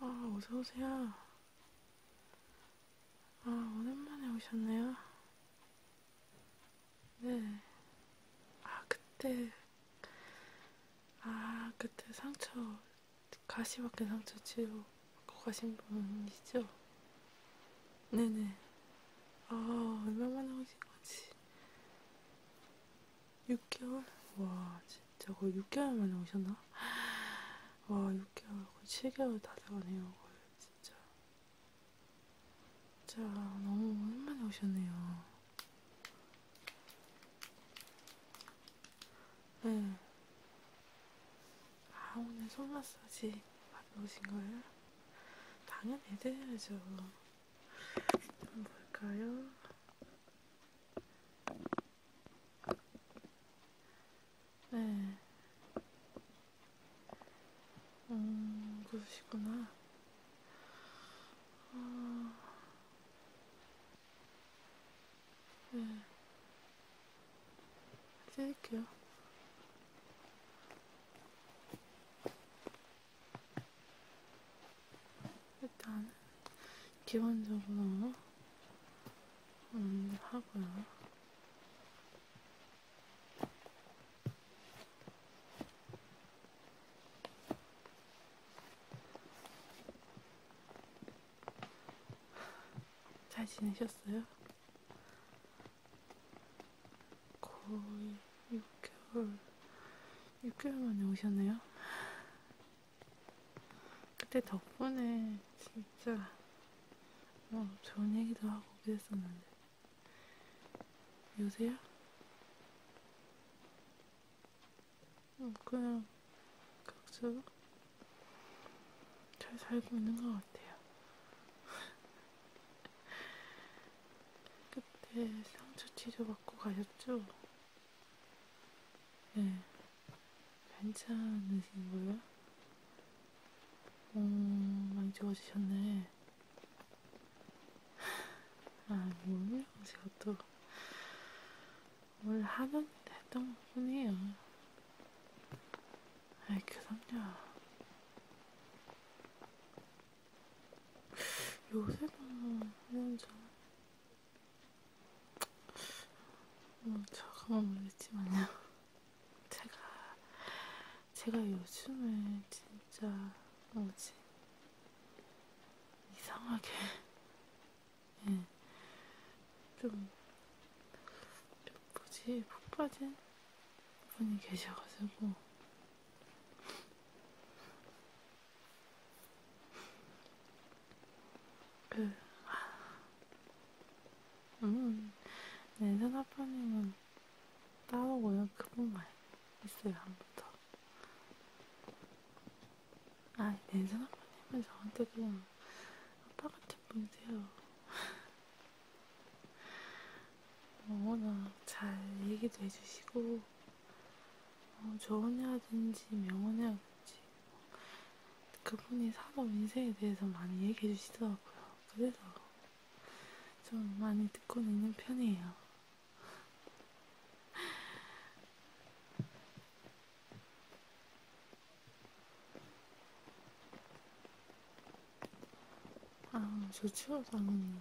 아, 어서오세요. 아, 오랜만에 오셨네요. 네. 아, 그때. 아, 그때 상처 가시밖에 상처 치료 받고 가신 분이죠? 네네. 아, 얼마만에 오신 거지? 6개월? 와, 진짜 거의 6개월 만에 오셨나? 와, 6개월, 거의 7개월 다 돼가네요, 거의, 진짜. 진짜, 너무 오랜만에 오셨네요. 응. 네. 아, 오늘 손 마사지 받으신 거예요? 당연히 해드려야죠. 좀 볼까요? 네. 음, 그러시구나. 어, 네. 찔게요. 일단 기본적으로 음, 하고요. 잘 지내셨어요? 거의 6개월, 6개월 만에 오셨네요. 그때 덕분에 진짜 뭐 좋은 얘기도 하고 그랬었는데. 요새요? 응, 어, 그냥 각자 잘 살고 있는 것 같아요. 그때 상처 치료받고 가셨죠? 예, 네. 괜찮으신 거예요? 오, 음, 많이 좋아지셨네. 아, 몸이랑 제가 또뭘 하던 했던 것 뿐이에요. 아이, 그럼요. 요새도 뭐, 혼자. 뭐, 잠깐만 모르겠지만요. 제가, 제가 요즘에 진짜, 뭐지, 이상하게 네. 예. 좀, 좀 뭐지 푹 빠진 분이 계셔가지고 그, 아, 음, 내전 네, 아빠님은 따로 오면 그분만 있어요 한부터. 아, 내 생각만 하면 저한테 그냥 아빠 같은 분이세요. 워낙 잘 얘기도 해주시고, 어, 조언이라든지 명언이라든지, 그분이 사람 인생에 대해서 많이 얘기해 주시더라고요. 그래서 좀 많이 듣고 있는 편이에요. 아, 좋죠, 당연히.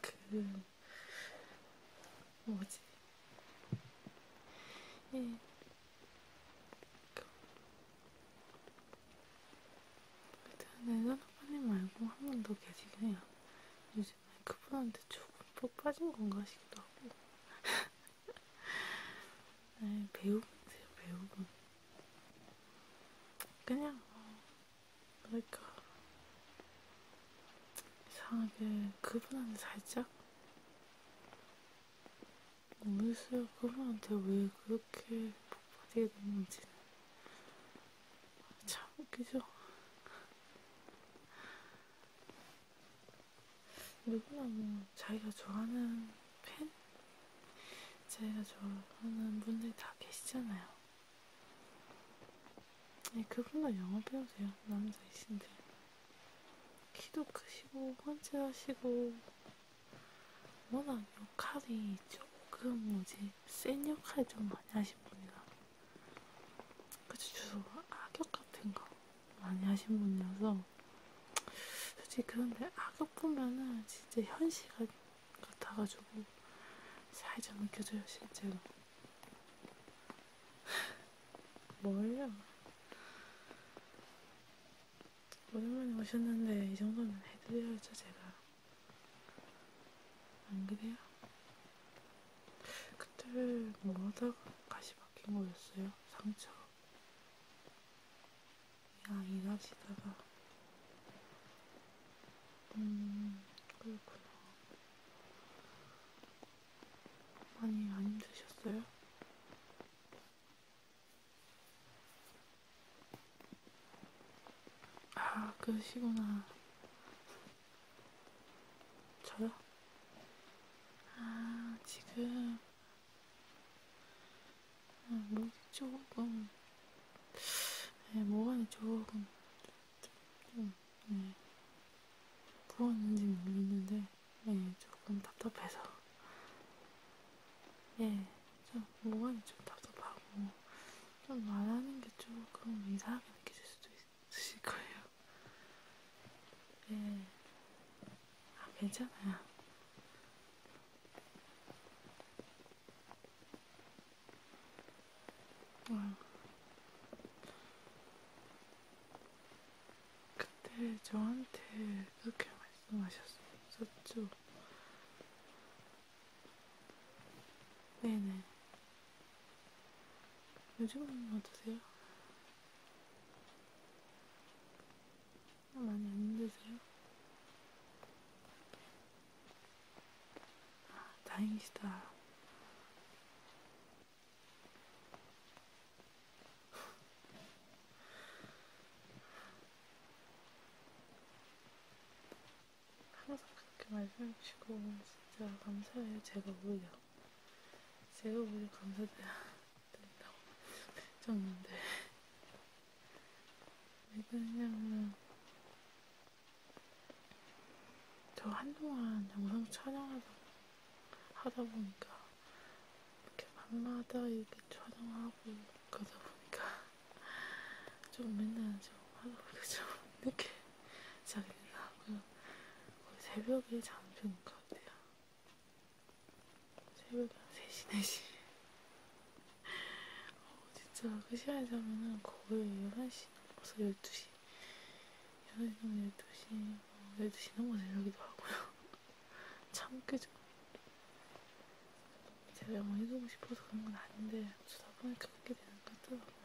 그, 뭐지? 예. 일단은 아빠님 말고 한분더 계시긴 해요. 요즘 빠지나요? 그분한테 조금 푹 빠진 건가 싶기도 하고. 네, 배우분이세요, 배우분. 그냥, 뭐랄까. 그러니까 이상하게 그분한테 살짝? 모르겠어요. 그분한테 왜 그렇게 푹 빠지게 됐는지는. 참 웃기죠? 누구나 뭐 자기가 좋아하는 팬? 자기가 좋아하는 분들이 다 계시잖아요. 네, 그분도 영어 배우세요. 남자이신데. 키도 크시고, 헌칠하시고, 워낙 역할이 조금 뭐지, 센 역할 좀 많이 하신 분이라. 그치, 주로 악역 같은 거 많이 하신 분이라서. 솔직히 그런데 악역 보면은 진짜 현실 같아가지고 살짝 느껴져요, 실제로. 뭘요? 오랜만에 오셨는데 이 정도면 해드려야죠 제가 안 그래요? 그때 뭐 하다가 가시 박힌 거였어요. 상처. 야, 일하시다가. 음, 그렇구나. 많이 안 힘드셨어요? 아, 그러시구나. 저요? 아, 지금 아, 목이 조금 네, 목안이 조금 좀 네, 부었는지 모르겠는데 네, 조금 답답해서 예, 좀 목안이 좀 답답하고 좀 말하는 게 조금 이상하게 느껴질 수도 있어요. 쓰실 거예요. 네. 아, 괜찮아요. 응. 음. 그때 저한테 그렇게 말씀하셨었죠. 네네. 요즘은 어떠세요? 많이 안 힘드세요? 아, 다행이시다. 항상 그렇게 말씀해주시고 진짜 감사해요. 제가 오히려 제가 오히려 감사드린다고 졌는데 왜 그러냐면 저 한동안 영상 촬영하다 하다 보니까 이렇게 밤마다 이렇게 촬영하고 그러다 보니까 좀 맨날 좀 하다 보니까 좀 늦게 자게 되더라고요. 거의 새벽에 잠드는 것 같아요. 새벽에 한 3시, 4시. 어, 진짜 그 시간에 자면은 거의 11시 넘어서 12시. 11시 넘으면 12시, 어, 12시 넘어서 이러기도 하고요. 참 끄죠. 제가 뭐 해주고 싶어서 그런 건 아닌데, 주다 보니까 그렇게 되는 것 같더라고요.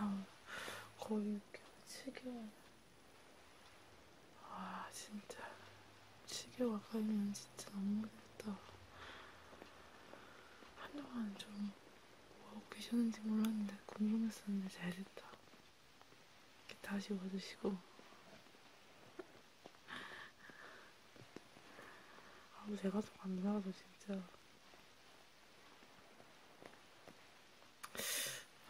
아, 거의 7개월. 아, 진짜. 7개월 가면 진짜 너무 힘들다. 한동안 좀 뭐하고 계셨는지 몰랐는데 궁금했었는데 잘됐다. 다시 와주시고 아무 제가 좀 감사하죠 진짜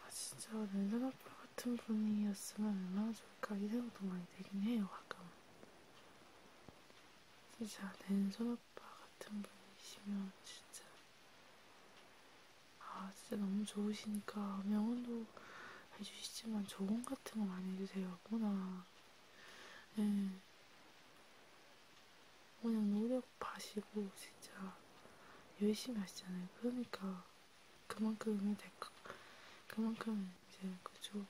아 진짜 랜선 아빠 같은 분이었으면 얼마나 좋을까 이 생각도 많이 되긴 해요 가끔 진짜 랜선 아빠 같은 분이시면 진짜 아 진짜 너무 좋으시니까 명언도 해주시지만 조언 같은 거 많이 해주세요. 워낙 예. 네. 그냥 노력 봐시고 진짜 열심히 하시잖아요. 그러니까 그만큼이 될까? 그만큼 이제 그죠?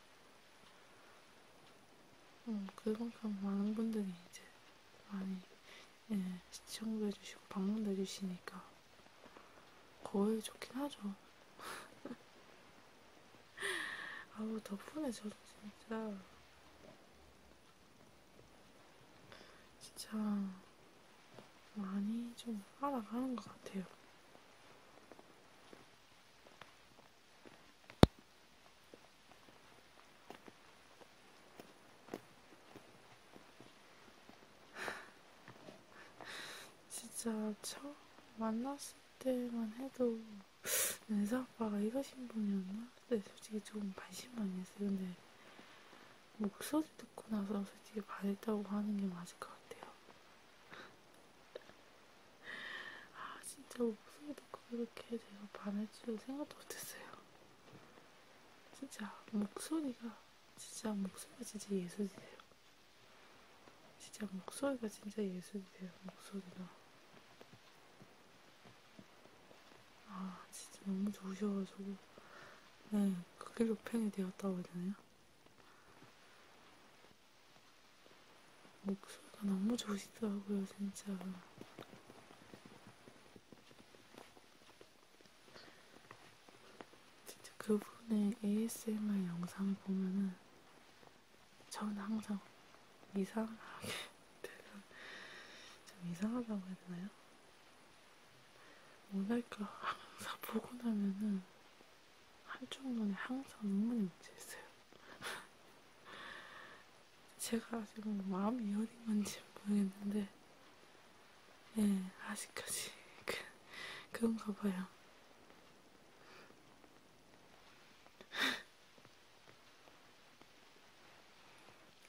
음, 그만큼 많은 분들이 이제 많이 예, 시청도 해주시고 방문도 해주시니까 거의 좋긴 하죠. 아우 덕분에 저도 진짜 진짜 많이 좀 알아가는 것 같아요. 진짜 처음 만났을 때만 해도 은사 오빠가 이거 신분이었나? 네, 솔직히 조금 반신반의 했어요. 근데 목소리 듣고 나서 솔직히 바랬다고 하는 게 맞을 것 같아요. 아, 진짜 목소리 듣고 이렇게 내가 반할 줄은 생각도 못했어요. 진짜 목소리가, 진짜 목소리가 진짜 예술이에요. 진짜 목소리가 진짜 예술이에요. 목소리가. 아, 진짜 너무 좋으셔가지고. 네, 그 길로 팬이 되었다고 해야 되나요? 목소리가 너무 좋으시더라고요, 진짜. 진짜 그분의 ASMR 영상을 보면은 저는 항상 이상하게 좀 이상하다고 해야 되나요? 뭐랄까 항상 보고 나면은 한쪽 눈에 항상 눈물이 묻혀 있어요. 제가 지금 마음이 어린 건지 모르겠는데 네, 아직까지 그, 그런가 봐요.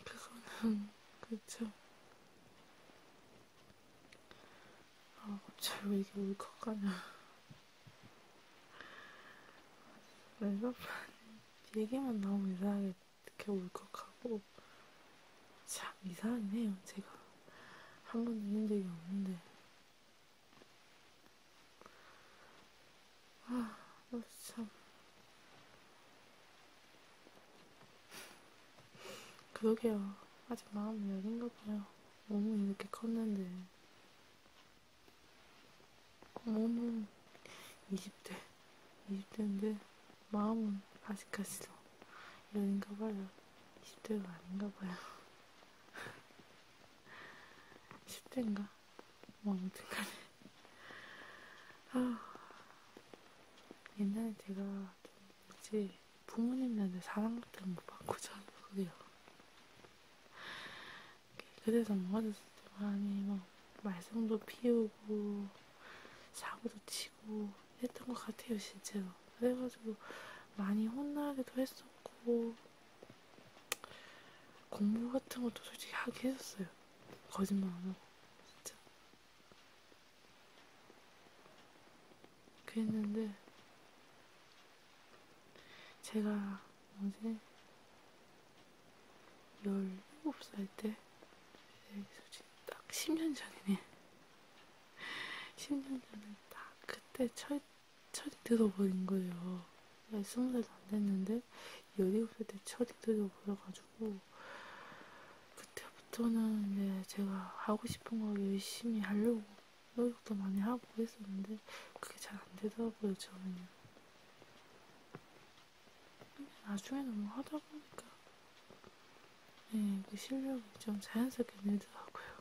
그거는 그렇죠. 아, 갑자기 왜 이게 울컥하냐. 내가 얘기만 나오면 이상하게 이렇게 울컥하고 참 이상하긴 해요, 제가. 한 번도 이긴 적이 없는데. 아, 나 참. 그러게요. 아직 마음이 여린가 봐요. 몸은 이렇게 컸는데. 몸은 20대, 20대인데 마음은 아직까지도 여린가 봐요. 20대도 아닌가 봐요. 10대인가? 뭐, 아무튼 간에. 아, 옛날에 제가 뭐지, 부모님한테 사랑 같은 거 받고 자랐거든요. 그래서 뭐 어렸을 때 많이 막 말썽도 피우고, 사고도 치고, 시키고 어, 했던 것 같아요, 진짜로. 그래가지고 많이 혼나기도 했었고, 공부 같은 것도 솔직히 하게 했었어요. 거짓말 안 하고, 진짜. 그랬는데, 제가 어제 17살 때, 솔직히 딱 10년 전이네. 10년 전에 딱 그때 철, 철이 들어버린 거예요. 나 스무 살도 안 됐는데, 17살 때 철이 들어버려가지고, 그때부터는 이제 제가 하고 싶은 걸 열심히 하려고 노력도 많이 하고 했었는데, 그게 잘 안 되더라고요, 저는. 나중에 너무 뭐 하다 보니까, 네, 그 실력이 좀 자연스럽게 늘더라고요.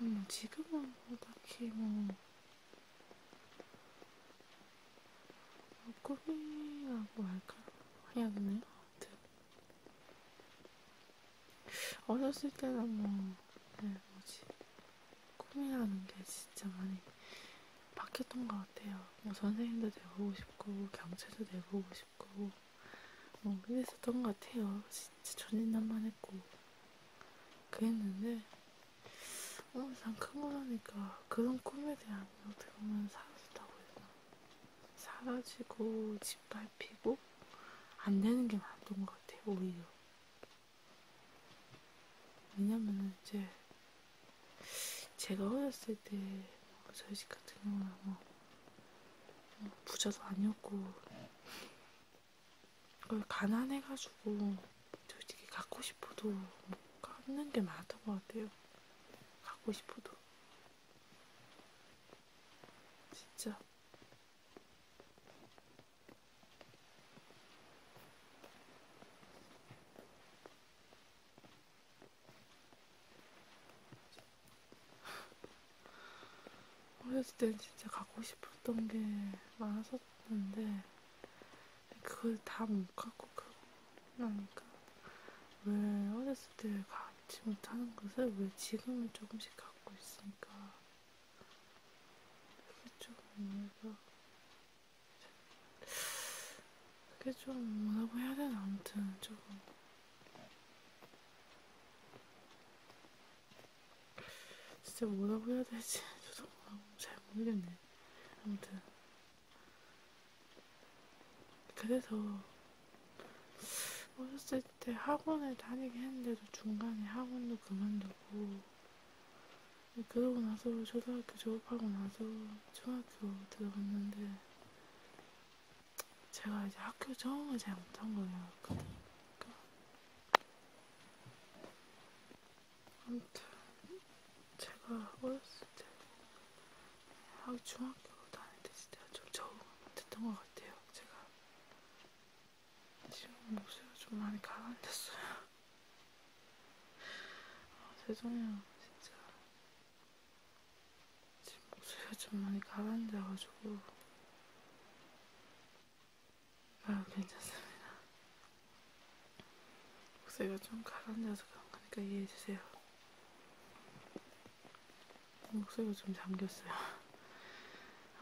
음, 지금은 뭐 딱히 뭐 꼬리라고 뭐 할까? 해야겠네요. 아무튼 어렸을 때는 뭐, 네, 뭐지 꿈이라는 게 진짜 많이 바뀌었던 것 같아요. 뭐 선생님도 되고 싶고 경제도 되고 싶고 어, 그랬었던 것 같아요. 진짜 전인난만 했고. 그랬는데, 어, 난큰거 하니까 그런 꿈에 대한 어떻게 보면 사라진다고 했나. 사라지고, 짓밟히고, 안 되는 게 많았던 것 같아요, 오히려. 왜냐면 이제, 제가 어렸을 때, 저희 집 같은 경우는 뭐, 부자도 아니었고, 그걸 가난해가지고 솔직히 갖고 싶어도 못 뭐 갖는 게 많았던 것 같아요. 갖고 싶어도 진짜. 어렸을 때 진짜 갖고 싶었던 게 많았었는데 그걸 다 못 갖고 그러니까 왜 어렸을 때 갖지 못하는 것을 왜 지금은 조금씩 갖고 있으니까 그게 좀 뭐랄까 그게 좀 뭐라고 해야 되나 아무튼 조금 진짜 뭐라고 해야 되지? 저도 잘 모르겠네. 아무튼. 그래서 어렸을 때 학원을 다니긴 했는데도 중간에 학원도 그만두고 그러고 나서 초등학교 졸업하고 나서 중학교 들어갔는데 제가 이제 학교 적응을 잘 못한 거예요. 그러니까 아무튼 제가 어렸을 때 학교 중학교 다닐 때 진짜 좀 적응했던 것 같아요. 제가 지금 목소리가 좀 많이 가라앉았어요. 아, 죄송해요, 진짜. 지금 목소리가 좀 많이 가라앉아가지고 아, 괜찮습니다. 목소리가 좀 가라앉아서 그런 거니까 이해해주세요. 목소리가 좀 잠겼어요.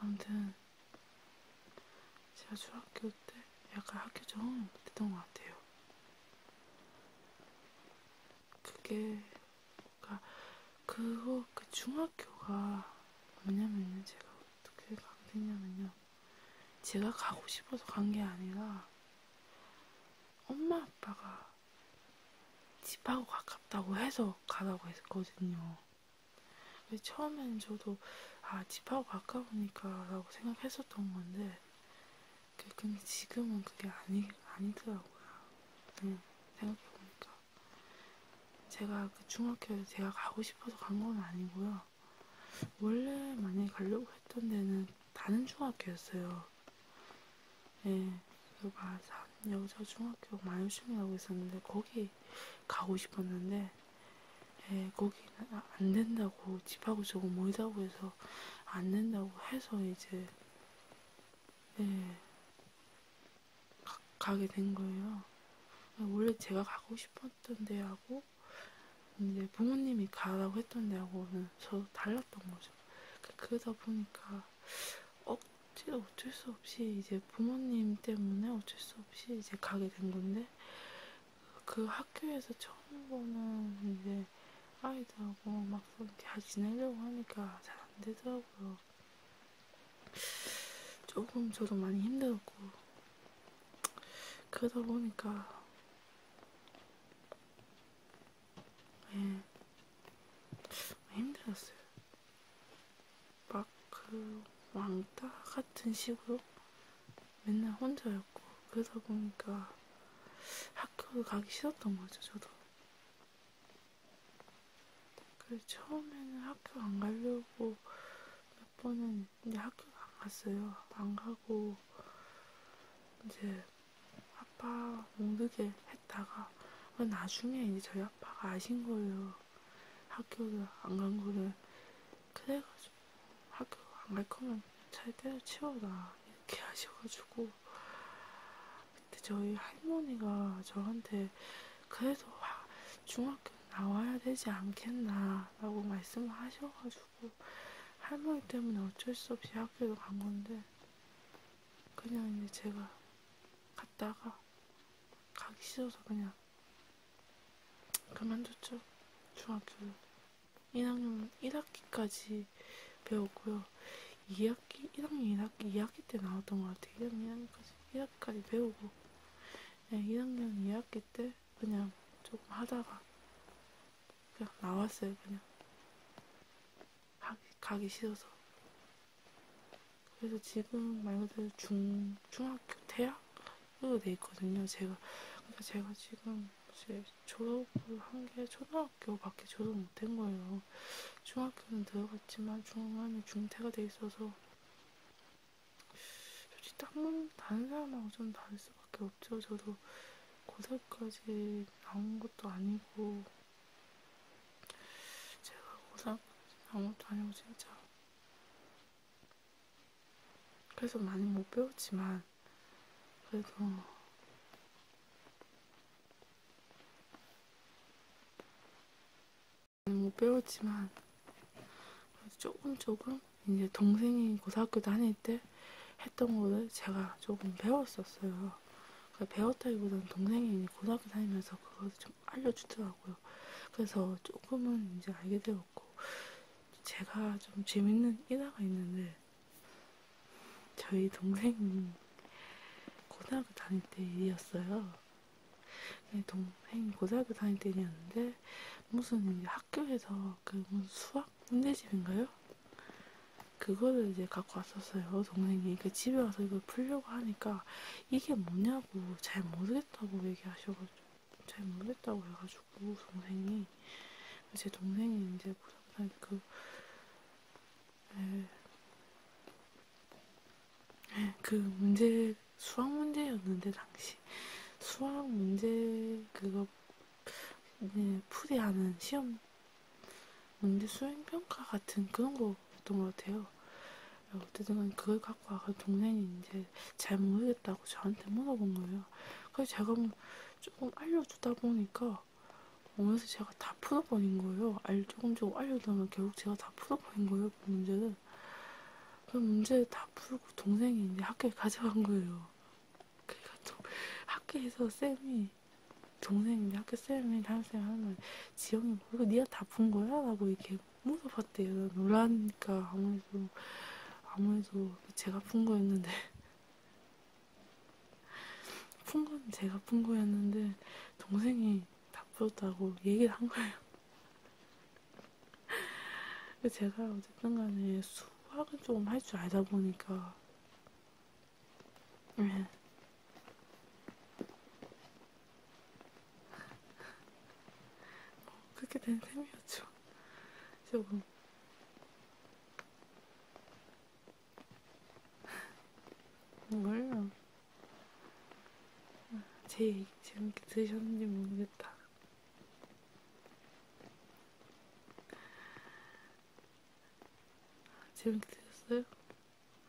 아무튼, 제가 중학교 때 약간 학교 적응 못했던 것 같아요. 그게, 그러니까 그거 그 중학교가 뭐냐면요 제가 어떻게 가게 됐냐면요 제가 가고 싶어서 간 게 아니라 엄마 아빠가 집하고 가깝다고 해서 가라고 했거든요. 그래서 처음에는 저도 아 집하고 가까우니까라고 생각했었던 건데 그, 근데 지금은 그게 아니 아니더라고요. 네, 생각해보니까 제가 그 중학교에 제가 가고 싶어서 간 건 아니고요. 원래 많이 가려고 했던 데는 다른 중학교였어요. 예, 그 마산 여자 중학교 마요중이라고 있었는데 거기 가고 싶었는데 예, 거기는 안 된다고 집하고 조금 멀다고 해서 안 된다고 해서 이제 예, 가, 가게 된 거예요. 원래 제가 가고 싶었던 데하고 이제 부모님이 가라고 했던 데하고는 저도 달랐던 거죠. 그, 그러다 보니까 억지로 어쩔 수 없이 이제 부모님 때문에 어쩔 수 없이 이제 가게 된 건데 그 학교에서 처음 보는 이제 아이들하고 막상 잘 지내려고 하니까 잘 안 되더라고요. 조금 저도 많이 힘들었고 그러다 보니까 예 힘들었어요. 막 그 왕따 같은 식으로 맨날 혼자였고 그러다 보니까 학교를 가기 싫었던 거죠 저도 그래서 처음에는 학교 안 가려고 몇 번은 이제 학교가 안 갔어요. 안 가고 이제 아빠 모르게 했다가 아, 나중에 이제 저희 아빠가 아신 거예요. 학교를 안 간 거를. 그래가지고 학교 안 갈 거면 잘 때려치워라. 이렇게 하셔가지고 그때 저희 할머니가 저한테 그래서 중학교 나와야 되지 않겠나 라고 말씀을 하셔가지고 할머니 때문에 어쩔 수 없이 학교를 간 건데 그냥 이제 제가 갔다가 가기 싫어서 그냥 그만뒀죠 중학교를 1학년 1학기까지 배웠고요 2학기 1학년 1학기 2학기 때 나왔던 것 같아요 1학년 1학기까지 1학기까지 배우고 그냥 2학년 2학기 때 그냥 조금 하다가 그냥 나왔어요. 그냥 가기, 가기 싫어서. 그래서 지금 말 그대로 중, 중학교 대학으로 돼 있거든요. 제가. 그러니까 제가 지금 이제 졸업을 한 게 초등학교밖에 졸업 못된 거예요. 중학교는 들어갔지만 중학년에 중퇴가 돼 있어서 솔직히 딱만 다른 사람하고 좀 다를 수밖에 없죠. 저도 고3까지 나온 것도 아니고 제가 고3까지 나온 것도 아니고 진짜 그래서 많이 못 배웠지만 그래도 못 배웠지만 조금 조금 이제 동생이 고등학교 다닐 때 했던 거를 제가 조금 배웠었어요. 그러니까 배웠다기보다는 동생이 고등학교 다니면서 그걸 좀 알려주더라고요. 그래서 조금은 이제 알게 되었고 제가 좀 재밌는 일화가 있는데 저희 동생이 고등학교 다닐 때 일이었어요. 동행 네, 고등학교 다닐 때였는데 무슨 학교에서 그 수학 문제집인가요? 그거를 이제 갖고 왔었어요. 동생이 그 집에 와서 이걸 풀려고 하니까 이게 뭐냐고 잘 모르겠다고 얘기하셔가지고 잘 모르겠다고 해가지고 동생이 제 동생이 이제 고등학교 그 에, 네. 그 문제 수학 문제였는데 당시 수학 문제 그거 네, 풀이하는 시험 문제 수행 평가 같은 그런 거였던 것 같아요. 어쨌든 그걸 갖고 와서 동생이 이제 잘 모르겠다고 저한테 물어본 거예요. 그래서 제가 뭐 조금 알려주다 보니까 오면서 제가 다 풀어버린 거예요. 알 조금 조금 알려주면 결국 제가 다 풀어버린 거예요. 그 문제를. 그냥 그 문제 다 풀고 동생이 이제 학교에 가져간 거예요. 그러니까 또 학교에서 쌤이 동생이 학교 쌤이 다른 쌤 하면 지영이 모르고 니가 다 푼 거야? 라고 이렇게 물어봤대요. 놀라니까 아무래도 아무래도 제가 푼 거였는데 푼 건 제가 푼 거였는데 동생이 나쁘다고 얘기를 한 거예요. 제가 어쨌든 간에 수학을 조금 할 줄 알다 보니까 예. 뭐 그렇게 된 셈이었죠. 조금 뭘요? 제 얘기 재밌게 드셨는지 모르겠다. 재밌게 드셨어요?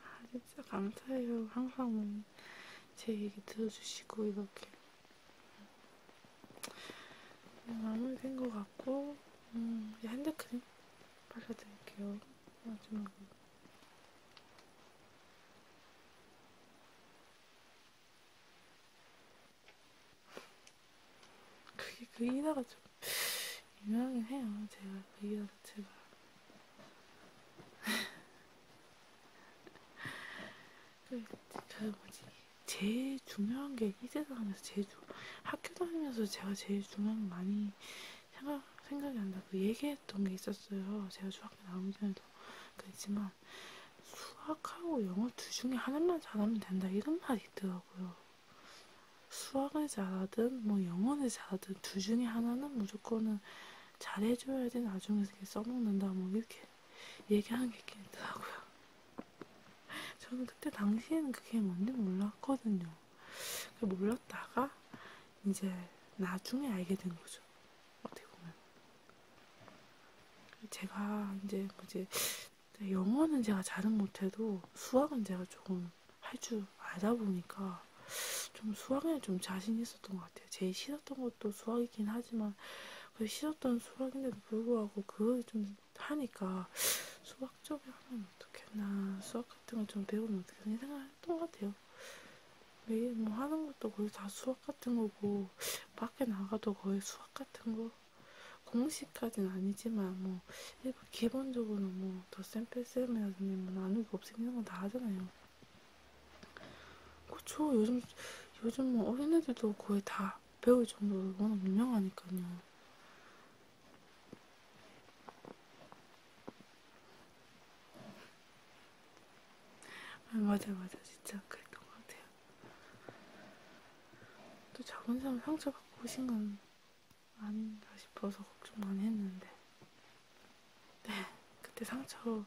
아, 진짜 감사해요. 항상 제 얘기 들어주시고, 이렇게. 네, 마무리된 것 같고, 음, 이제 핸드크림 발라드릴게요. 마지막으로. 그게 그 일화가 좀 유명하긴 해요. 제가 그 일화 자체가. 그, 그 뭐지? 제일 중요한 게이 세상에서 제일 주, 학교 다니면서 제가 제일 중요한 거 많이 생각, 생각이 난다. 그 얘기했던 게 있었어요. 제가 중학교 나오기 전에도 그랬지만 수학하고 영어 둘 중에 하나만 잘하면 된다 이런 말이 있더라고요. 수학을 잘하든 뭐 영어를 잘하든 둘 중에 하나는 무조건은 잘해줘야지 나중에 써먹는다 뭐 이렇게 얘기하는 게 있긴 있더라고요. 저는 그때 당시에는 그게 뭔지 몰랐거든요. 몰랐다가 이제 나중에 알게 된 거죠. 어떻게 보면. 제가 이제 뭐지 영어는 제가 잘은 못해도 수학은 제가 조금 할 줄 알다 보니까 좀 수학에 좀 자신 있었던 것 같아요. 제일 싫었던 것도 수학이긴 하지만 그 싫었던 수학인데도 불구하고 그걸 좀 하니까 수학 쪽에 하면 어떻겠나 수학 같은 걸 좀 배우면 어떻겠나 생각했던 것 같아요. 매일 뭐 하는 것도 거의 다 수학 같은 거고 밖에 나가도 거의 수학 같은 거 공식까지는 아니지만 뭐 일반 기본적으로 뭐 더 샘플 쌤이라든지 뭐 나누기 없애는 건다 하잖아요. 그쵸 요즘 요즘 뭐 어린애들도 거의 다 배울 정도로 워낙 유명하니까요. 아, 맞아, 맞아. 진짜 그랬던 것 같아요. 또 작은 사람 상처받고 오신 건 아닌가 싶어서 걱정 많이 했는데. 네, 그때 상처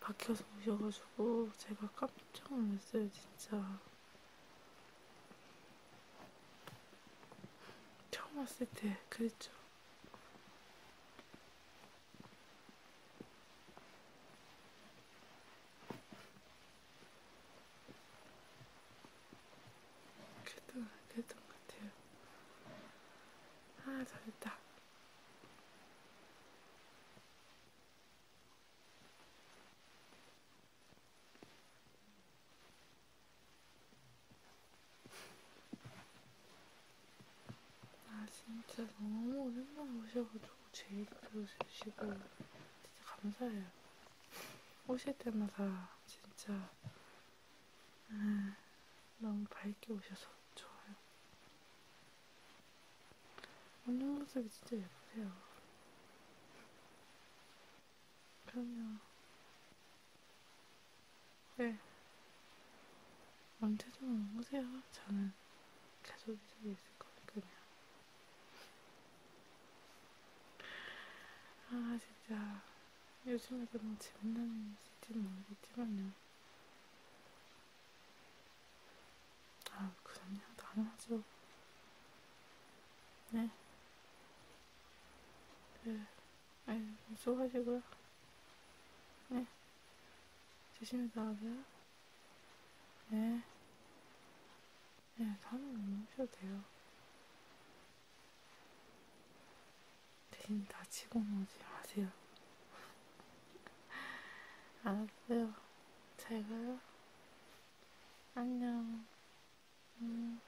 박혀서 오셔가지고 제가 깜짝 놀랐어요, 진짜. 처음 왔을 때 그랬죠. 그래도 그랬던 것 같아요. 아, 잘했다. 아 진짜 너무 오랜만에 오셔가지고 제일 들어주시고 진짜 감사해요. 오실 때마다 진짜 음, 너무 밝게 오셔서 좋아요. 오늘 모습이 진짜 예쁘세요. 그럼요. 네. 언제든 오세요. 저는 계속 이쪽에 있을 거니까요. 아, 진짜. 요즘에 너무 재밌는 일인지는 모르겠지만요. 아, 그럼요. 당연하죠. 네. 네. 아니, 수고하시고요. 네. 조심히 나가세요. 네. 네, 사람 오셔도 돼요. 대신 다치고 오지 마세요. 알았어요. 잘 가요. 안녕. 음.